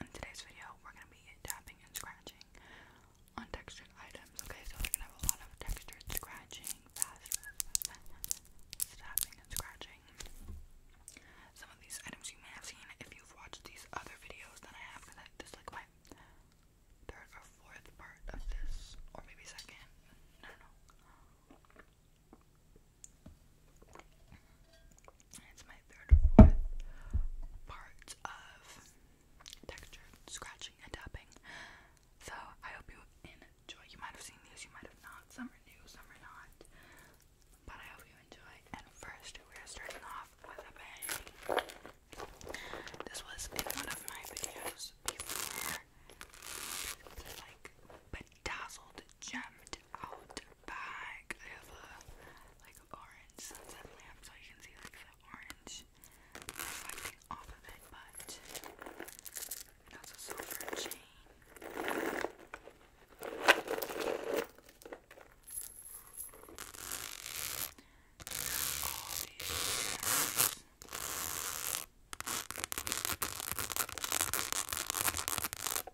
in today's video, we're gonna be tapping and scratching on textured items. Okay, so we're gonna have a lot of textured scratching, fast, fast, tapping and scratching. Some of these items you may have seen if you've watched these other videos that I have, because this is like my third or fourth part of this, or maybe second. I do it's my third or fourth part of texture, scratching, and tapping. So I hope you enjoy. You might have seen these, you might have not. Some are new, some are not. But I hope you enjoy. And first, we're starting off with a bang. This was in one of my videos before, like, dazzled, gemmed out bag. I have a like orange sunset lamp so you can see like the orange reflecting off of it, but that's a silver chain.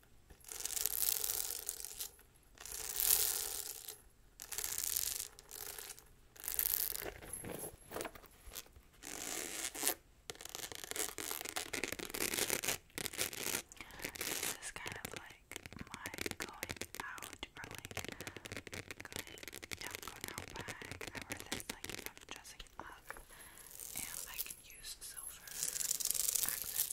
This is kind of like my going out or like going, yeah, going out I wear this like if i and I can use silver accents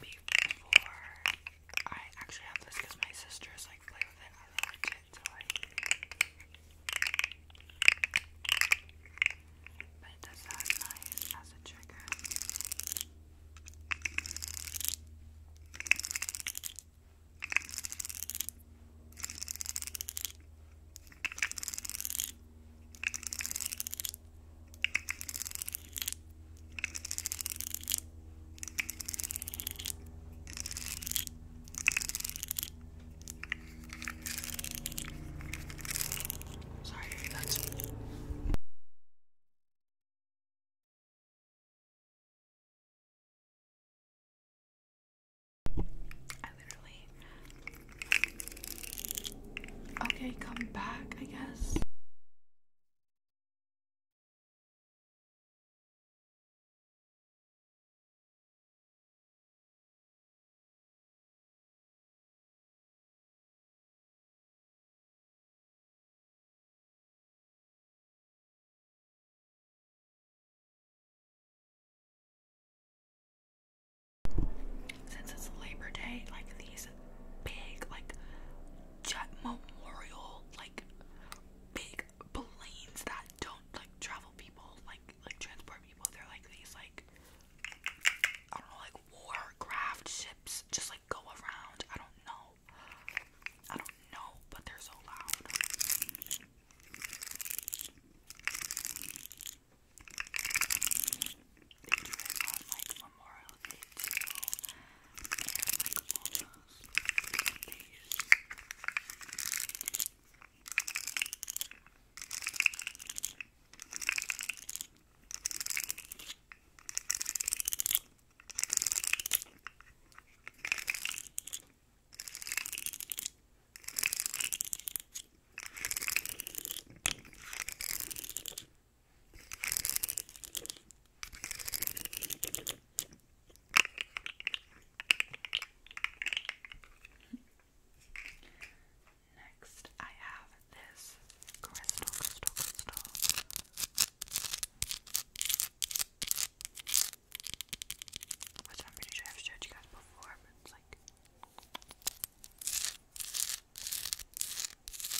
before I actually have this because my sisters like play with it. I like it to like but it does sound nice as a trigger. Sorry, that's I literally Okay, come back, I guess. Since it's Labor Day, like these big, like jet memorial, like big planes that don't like travel people, like like transport people. They're like these like I don't know, like warcraft ships just like go around. I don't know. I don't know, but they're so loud they do it on like Memorial Day too, and like almost they use. I Next, I have this crystal, crystal, crystal. Which I'm pretty sure I've showed you guys before, but it's like.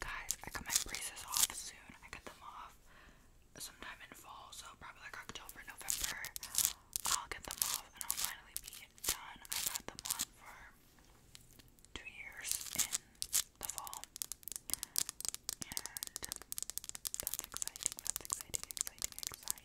Guys, I got my braces off soon. I got them off sometime in fall, so probably like October, November. I'll get them off and I'll finally be done. I've had them on for two years in the fall. And that's exciting, that's exciting, exciting, exciting.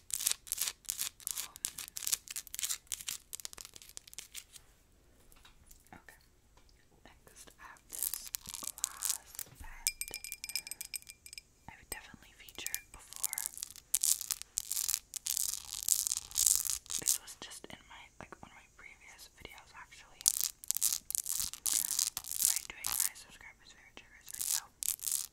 Um, okay. Next, I this glass vent. I've definitely featured before. This was just in my like one of my previous videos actually. By doing my subscribers favorite video.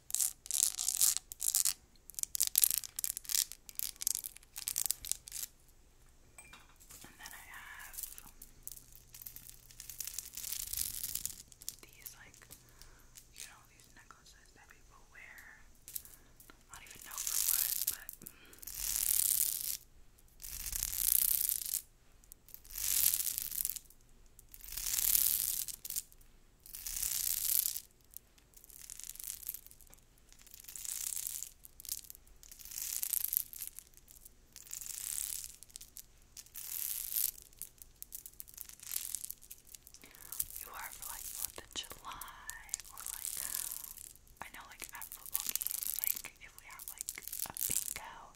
And then I have these, like, you know, these necklaces that people wear. not even know for what, but. You are for like Fourth of July or like I know like at football games like if we have like a bingo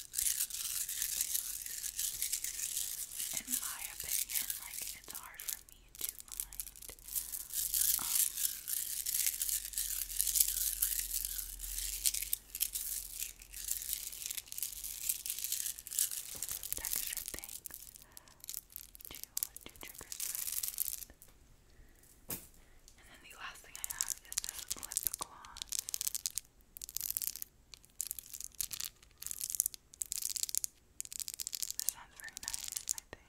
in my opinion, like it's hard for me to find um, texture things to to trigger. And then the last thing I have is the lip gloss. This sounds very nice, I think.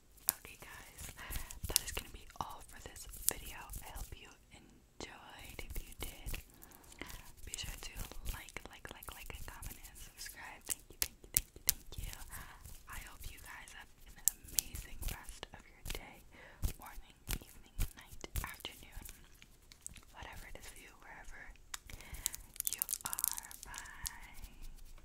Okay, guys, that is gonna be all for this video. I hope you enjoyed. If you did, be sure to like, like, like, like, and comment and subscribe. Thank you, thank you, thank you, thank you. I hope you guys have an amazing rest of your day, morning, evening, night, afternoon, whatever it is for you, wherever you are. Bye.